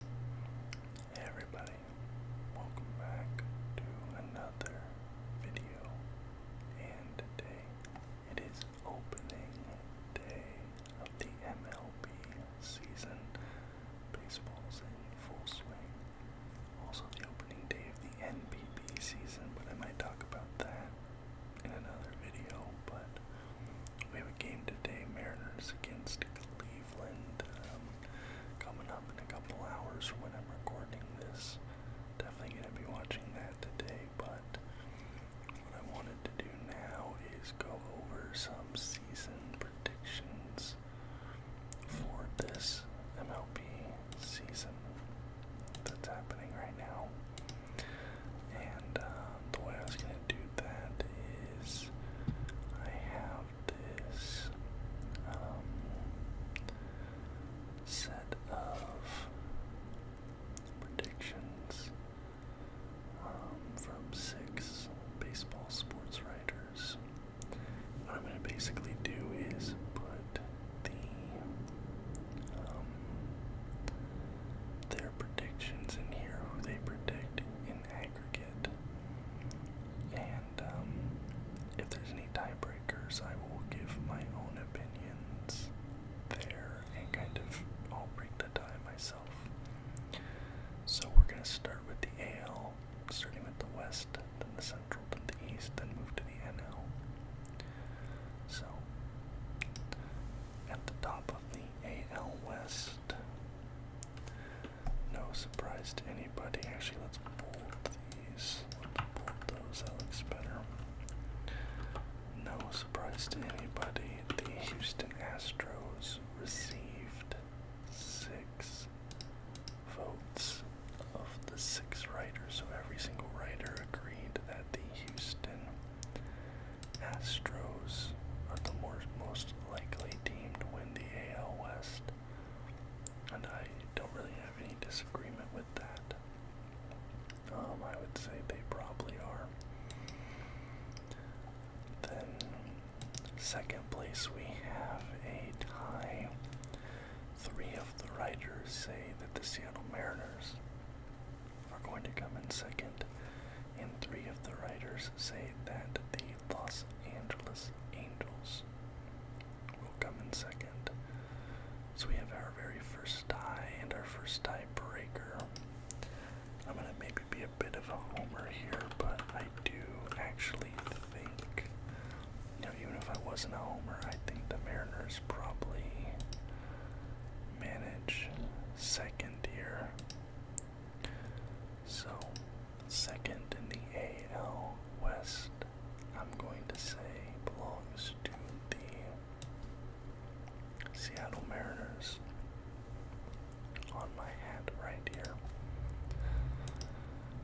Hey everybody, welcome back to another video, and today it is opening day of the MLB season. Baseball's in full swing. Also the opening day of the NPB season, but I might talk about that in another video, but we have a game today, Mariners against Cleveland. Um, coming up in a couple hours when i recording this. Definitely going to be watching that today, but what I wanted to do now is go over some season predictions for this MLB season that's happening right now. And um, the way I was going to do that is I have this um, set of predictions um, from six baseball sports writers. What I'm going to basically do is put the um, their predictions in here, who they predict in aggregate. And um, if there's any tiebreakers, I will give my own opinions there and kind of I'll break the tie myself. So we're going to start with the AL, starting with the West, then the Central, then the East, then move to the NL. So at the top of the AL West, no surprise to anybody. Actually, let's bold these. Let's bold those. That looks better. No surprise to anybody. The Houston Astros received six votes of the six writers. So every single writer agreed that the Houston Astros are the more, most likely deemed to win the AL West, and I don't really have any disagreement with that. Um, I would say they probably are. Then, second place, we have a tie. Three of the writers say that the Seattle Mariners are going to come in second, and three of the writers say that the Los Angeles Angels will come in second. So we have our very first tie and our first tiebreaker. I'm gonna maybe be a bit of a homer here, but I do actually think, you even if I wasn't a homer, I think the Mariners probably manage second here. So, second in the AL West, I'm going to say belongs to the Seattle Mariners on my hat right here.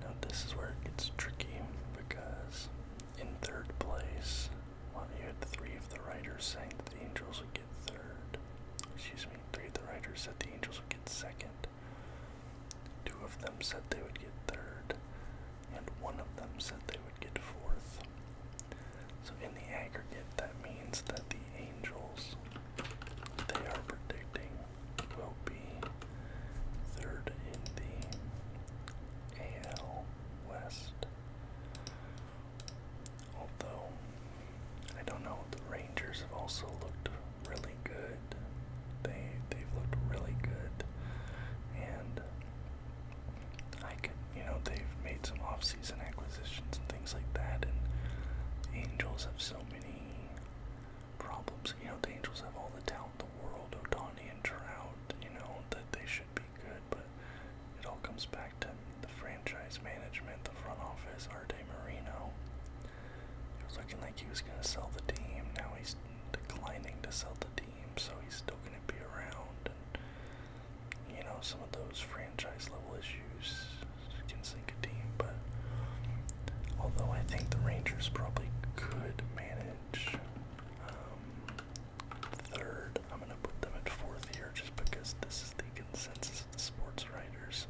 Now, this is where it gets tricky because in third place, well, you had three of the writers saying the Angels again third. Excuse me, three of the writers said the Angels would get second. Two of them said they would get third, and one of them said they would get fourth. So in the aggregate, that means that the Angels, they are predicting, will be third in the AL West. Although, I don't know, the Rangers have also looked really good. They they've looked really good, and I could you know they've made some off-season acquisitions and things like that. And the Angels have so many problems. You know the Angels have all the talent in the world, Otani and Trout. You know that they should be good, but it all comes back to that the franchise management, the front office, Arte Marino, it was looking like he was going to sell the team. Now he's declining to sell the team, so he's still going to be around. And, you know, some of those franchise level issues can sink a team, but although I think the Rangers probably could manage um, third, I'm going to put them at fourth here just because this is the consensus of the sports writers.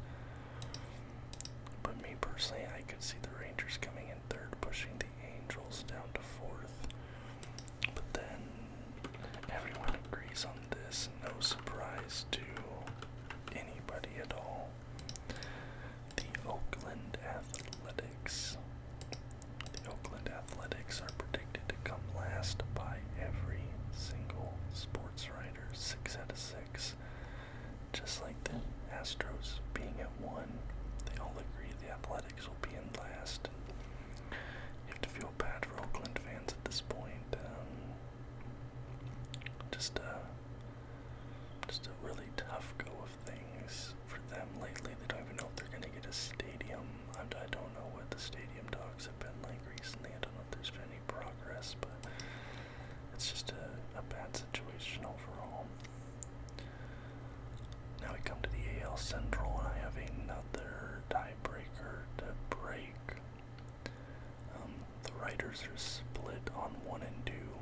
But me personally, I could see the Rangers coming in third, pushing the Angels down to fourth. But then everyone agrees on this, no surprise to anybody at all. The Oakland Athletics. The Oakland Athletics are predicted to come last by every single sports writer. Snyder, six out of six. Just like the Astros being at one, they all agree the Athletics will be in last. You have to feel bad for Oakland fans at this point. Um, just a, just a really tough go of things for them lately. They don't even know if they're going to get a stadium. I, I don't know what the stadium talks have been like recently. I don't know if there's been progress, but it's just a, bad situation overall. Now we come to the AL Central, and I have another tiebreaker to break. Um, the Riders are split on one and two.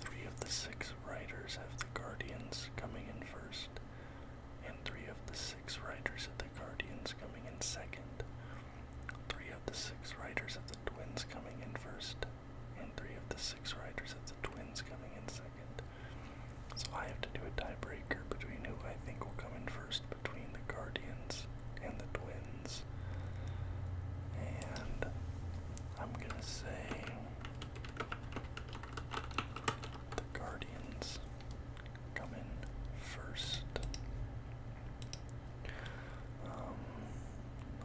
Three of the six Riders have the Guardians coming in first, and three of the six Riders have the Guardians coming in second. Three of the six riders of the Twins coming in first, and three of the six riders of the Twins coming in second. So I have to do a tiebreaker between who I think will come in first between the Guardians and the Twins. And I'm gonna say the Guardians come in first. Um,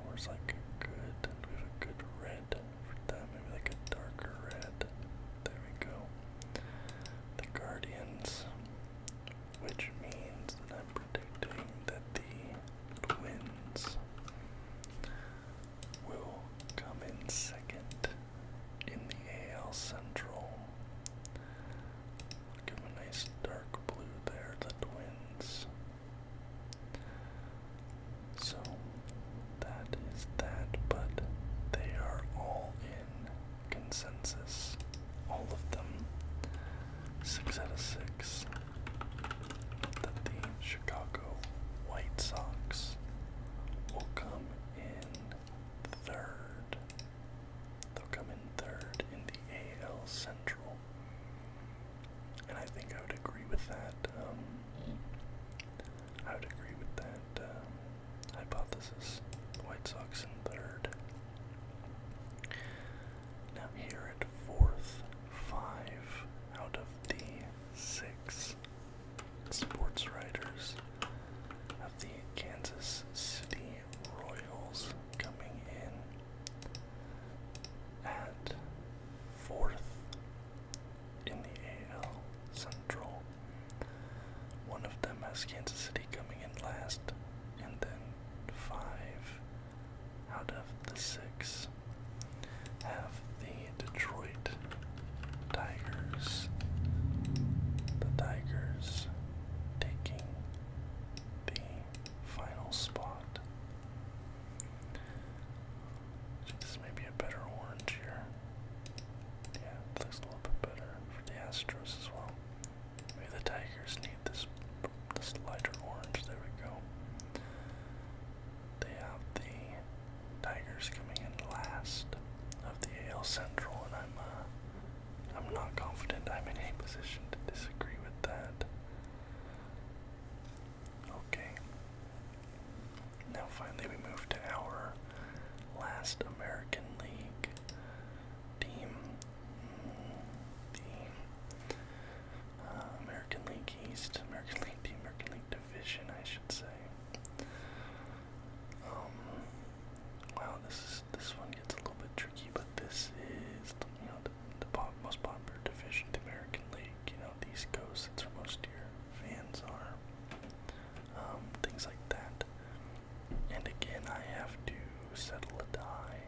where's like a good, we have a good red for that, maybe like a darker red. There we go. The Guardians, which means that I'm predicting that the Twins will come in second in the AL Central. Give a nice dark blue there, the twins. So that is that, but they are all in consensus. All of them. Six out of six. That the Chicago White Sox will come in third. They'll come in third in the AL Central. And I think I would agree with that. Um, I would agree with that um, hypothesis. White Sox in third. Now here at fourth, five out of the six sports writers of the Kansas City Royals coming in at fourth in the AL Central. One of them has Kansas City coming in last, and then five out of the six have the Detroit Tigers. The Tigers taking the final spot. Actually, this may be a better orange here. Yeah, looks a little bit better for the Astros as well. Maybe the Tigers need this this lighter orange. There we go. They have the Tigers coming in last of the AL Central, and I'm uh, I'm not confident I'm in a position to disagree with that. Okay. Now finally we move to our last American League team. Mm, the uh, American League East, American League, the American League Division, I should say. Um, Wow, this this one gets a little bit tricky, but this is you know the, the most popular division, in the American League. You know, the East where most of your fans are. Um, things like that. And again, I have to settle a tie.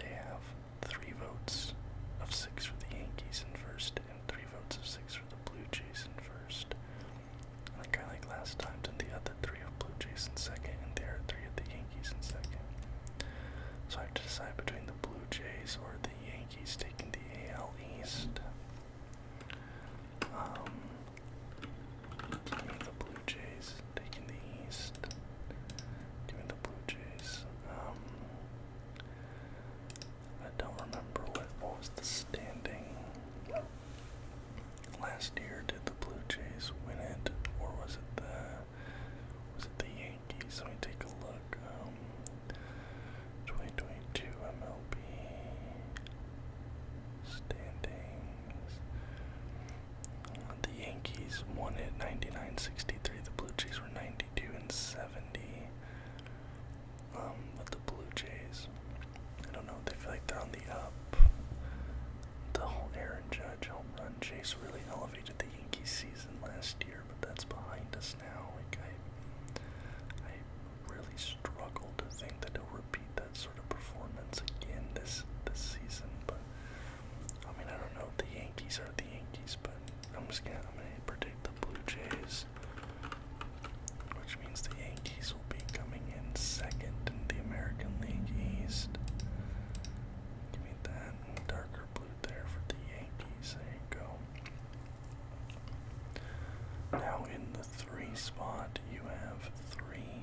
They have three votes of six for the Yankees in first, and three votes of six for the Blue Jays in first. Like I like last time, to the other three of Blue Jays in second, and there are three of the Yankees in second. So I have to decide between the Blue Jays or the Yankees taking the AL East. Um, the Blue Jays taking the East. Give me the Blue Jays. Um, I don't remember what was the standing. Last year, did the Blue Jays win it, or was it the was it the Yankees? Let me take a look. Um, 2022 MLB standings. The Yankees won it 99-63. The Blue Jays were 92 and 70. Um, but the Blue Jays I don't know. They feel like they're on the up. The whole Aaron Judge home run chase really elevated the Yankees season last year, but that's behind us now. Like I, I really struggle to think that they will repeat that sort of performance again this this season. But I mean, I don't know. if The Yankees are the Yankees, but I'm just gonna I'm gonna predict the Blue Jays, which means the Yankees be coming in second in the American League East. Give me that darker blue there for the Yankees. go. Now in the three spot, you have three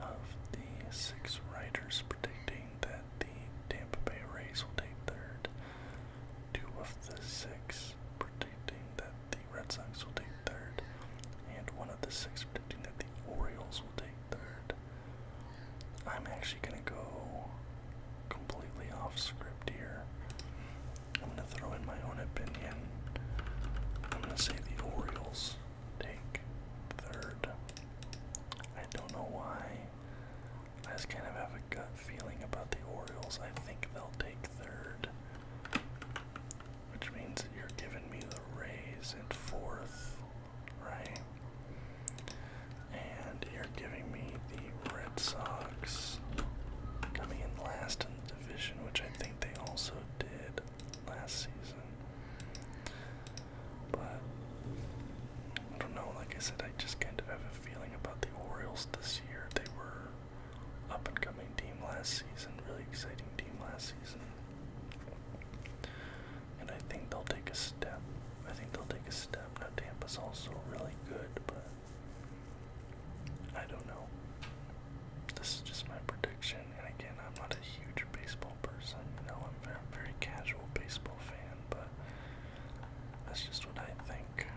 of the six writers predicting that the Tampa Bay Rays will take third. Two of the six predicting that the Red Sox will take third, and one of the six predicting that the Orioles will take third. I'm actually going to go completely off script here. I'm going to throw in my own opinion. I'm going to say the Orioles take third. I don't know why. I just kind of have a gut feeling about the Orioles. I think they'll take third which means you're giving me the Rays and fourth, right? And you're giving me the Red Sox coming in last in the division, which I think they also did last season. But I don't know, like I said, I just kind of have a feeling about the Orioles this year. They were up and coming team last season, really exciting team last season. And I think they'll take a step. I think they'll take a step. Now Tampa's also really good, but I don't know. This is just my prediction, and again, I'm not a huge baseball person. You know, I'm a very casual baseball fan, but that's just what I think.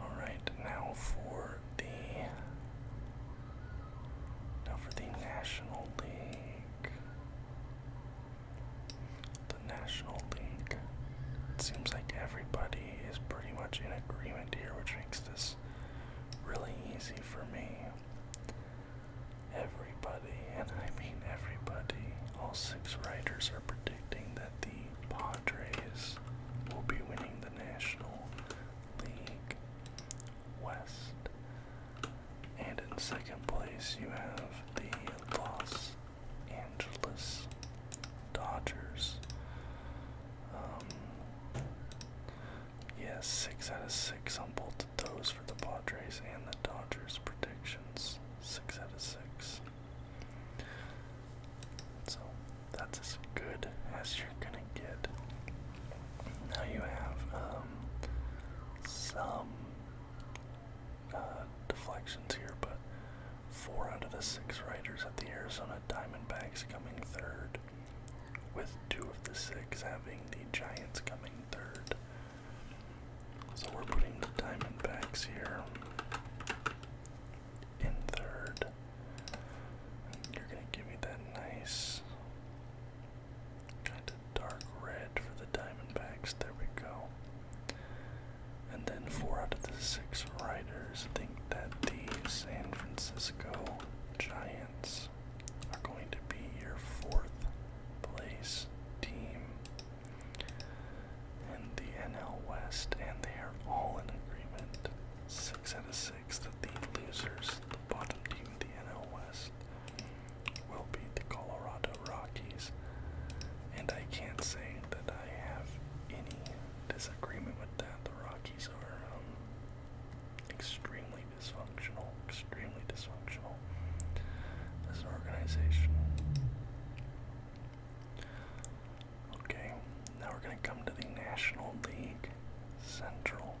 Alright, now for the now for the National League. The National League. It seems like everybody is pretty much in agreement here, which makes this really easy for me. Everybody, and I mean everybody, all six writers are predicting that the Padres will be winning the National League West. And in second place, you have the Los Angeles Dodgers. Um, yes, six out of six on both of those for the Padres and the Dodgers predictions. Six out of six. So that's as good as you're gonna get. Now you have um, some uh, deflections here, but four out of the six riders at the Arizona Diamondbacks coming third, with two of the six having the Giants coming third. So we're putting the Diamondbacks here in third. You're gonna give me that nice kind of dark red for the Diamondbacks. There we go. And then four out of the six riders think that the San Francisco Giants are going to be your fourth place team in the NL West, and they are all in agreement. Six out of six that the losers, the bottom team of the NL West, will be the Colorado Rockies. And I can't say that I have any disagreement with that. The Rockies are um, extremely dysfunctional, extremely dysfunctional as an organization. Okay, now we're going to come to the National League Central.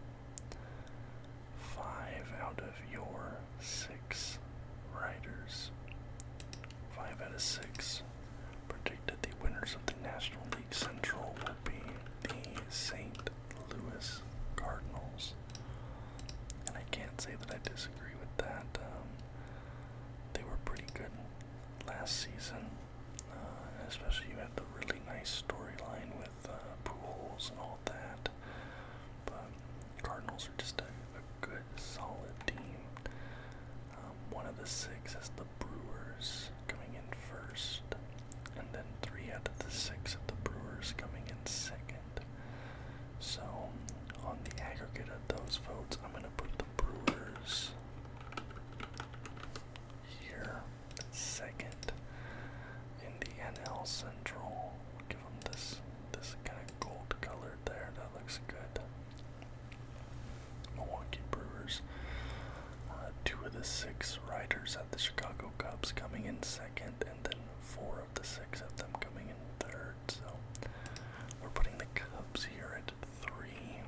Five out of your six riders. Five out of six predicted the winners of the National League Central will be the St. Louis Cardinals. And I can't say that I disagree with that. Um, they were pretty good last season. Uh, especially you had the really nice storyline with uh, pools and all that. But Cardinals are just a, good, solid team. Um, one of the six is the Brewers coming in first, and then three out of the six of the Brewers coming in second. So, on the aggregate of those votes, I'm going to put the Brewers here second in the NL Central. We'll give them this this kind of gold colored there. That looks good. Milwaukee Brewers. Uh, two of the six riders at the Chicago Cubs coming in second, and then four of the six of them coming in third. So we're putting the Cubs here at three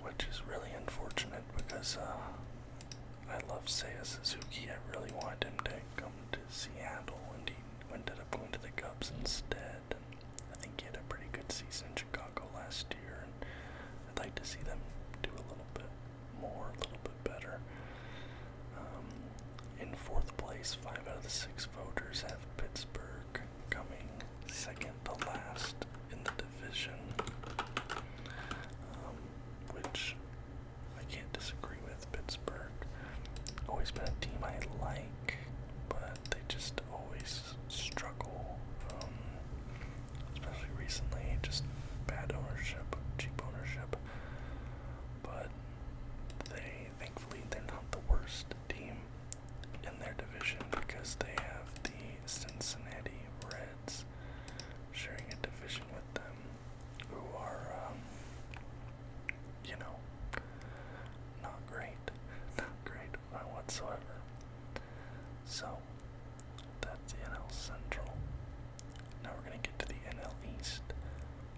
which is really unfortunate because uh, I love Seiya Suzuki. I really wanted him to come to Seattle, and he ended up going to the Cubs instead. And I think he had a pretty good season in Chicago last year, and I'd like to see them do a little bit more, a little bit better. Um, in fourth place, five out of the six voters have Pittsburgh coming second to last in the division, um, which I can't disagree with. Pittsburgh always been a team I like, but they just always struggle, especially recently. Just bad ownership, cheap ownership, but they thankfully they're not the worst team in their division because they have the Cincinnati Reds, sharing a division with them, who are, um, you know, not great, not great whatsoever. So, that's the NL Central. Now we're going to get to the NL East.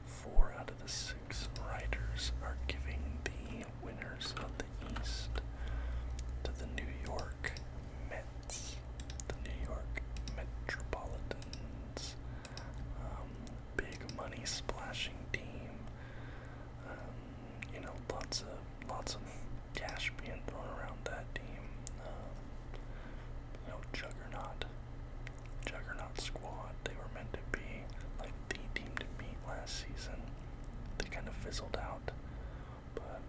Four out of the six writers are giving the winners of the the East to the New York Mets, the New York Metropolitans, um, big money splashing team. Um, you know, lots of lots of cash being thrown around that team. Um, you know, juggernaut, juggernaut squad. They were meant to be like the team to beat last season. They kind of fizzled out but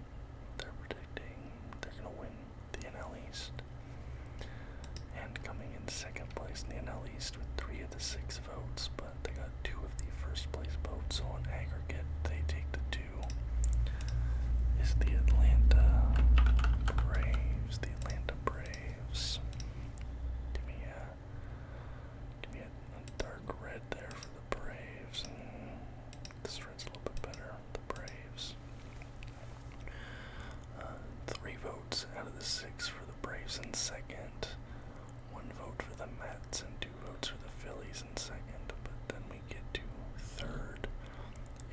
they're predicting they're going to win the NL East. And coming in second place in the NL East with three of the six votes, but they got two of the first place votes, so on aggregate, they take the two. Is the Atlanta Braves? The Atlanta Braves. Give me a, give me a and dark red there for the Braves. this red's a little bit better. The Braves. Uh, three votes out of the six for the Braves in second. One vote for the Mets and two votes for the Phillies in second. But then we get to third.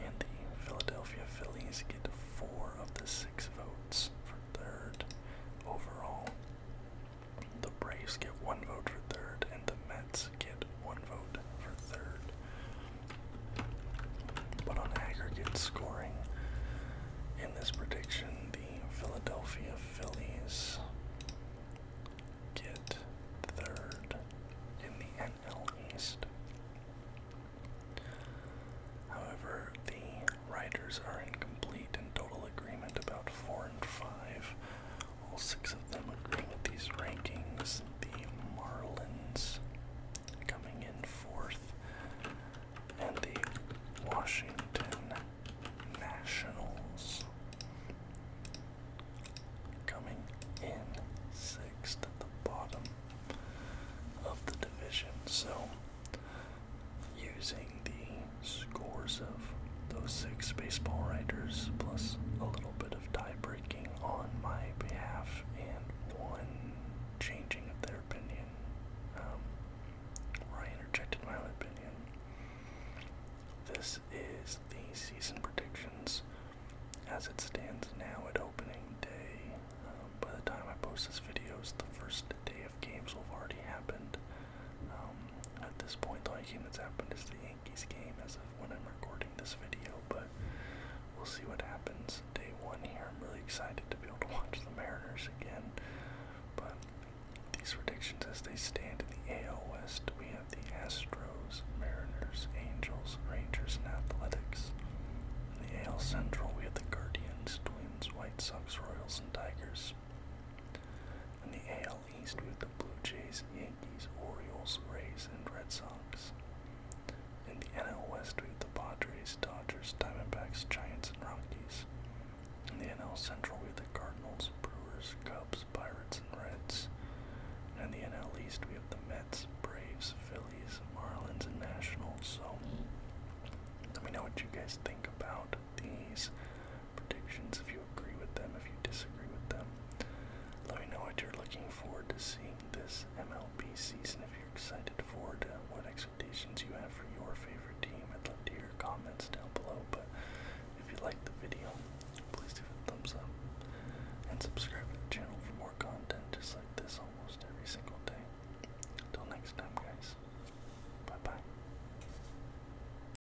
And the Philadelphia Phillies get four of the six votes for third overall. The Braves get one vote for third, and the Mets get one vote for third. But on aggregate scoring, in this prediction, the Philadelphia Phillies get third in the NL East. However, the writers are in complete and total agreement about 4 and 5, all six of them agree with these rankings. The Marlins coming in fourth, and the Washington Nationals coming in sixth at the bottom of the division. So, using the scores of those six baseball writers, plus a little bit of tie breaking on my behalf, and one changing of their opinion. Um, where I interjected my own opinion. This is the season predictions as it stands now at opening day. Um, by the time I post this video, the first day of games will have already happened. Um, at this point, the only game that's happened is the Yankees game as of when I'm recording this video, but we'll see what happens day one here. I'm really excited to be able to watch the Mariners again, but these predictions as they stand in the AL West, we have the Astros, Mariners, Angels, Rangers, and Athletics. In the AL Central, we have the Guardians, Twins, White Sox, Royals, and Tigers. In the AL East with the Blue Jays, Yankees, Orioles, Rays, and Red Sox. In the NL West with the Padres, Dodgers, Diamondbacks, Giants, and Rockies. In the NL Central with the Cardinals, Brewers, Cubs, Pirates, and Reds. And in the NL East we have the Mets, Braves, Phillies, Marlins, and Nationals. So let me know what you guys think about these predictions, if you agree with them, if you disagree with them. Let me know what you're looking forward to seeing this MLB season, if you're excited for it, what expectations you have for your favorite team. I'd love to hear your comments down below, but if you liked the video, please give it a thumbs up and subscribe to the channel for more content just like this almost every single day. Until next time, guys. Bye-bye.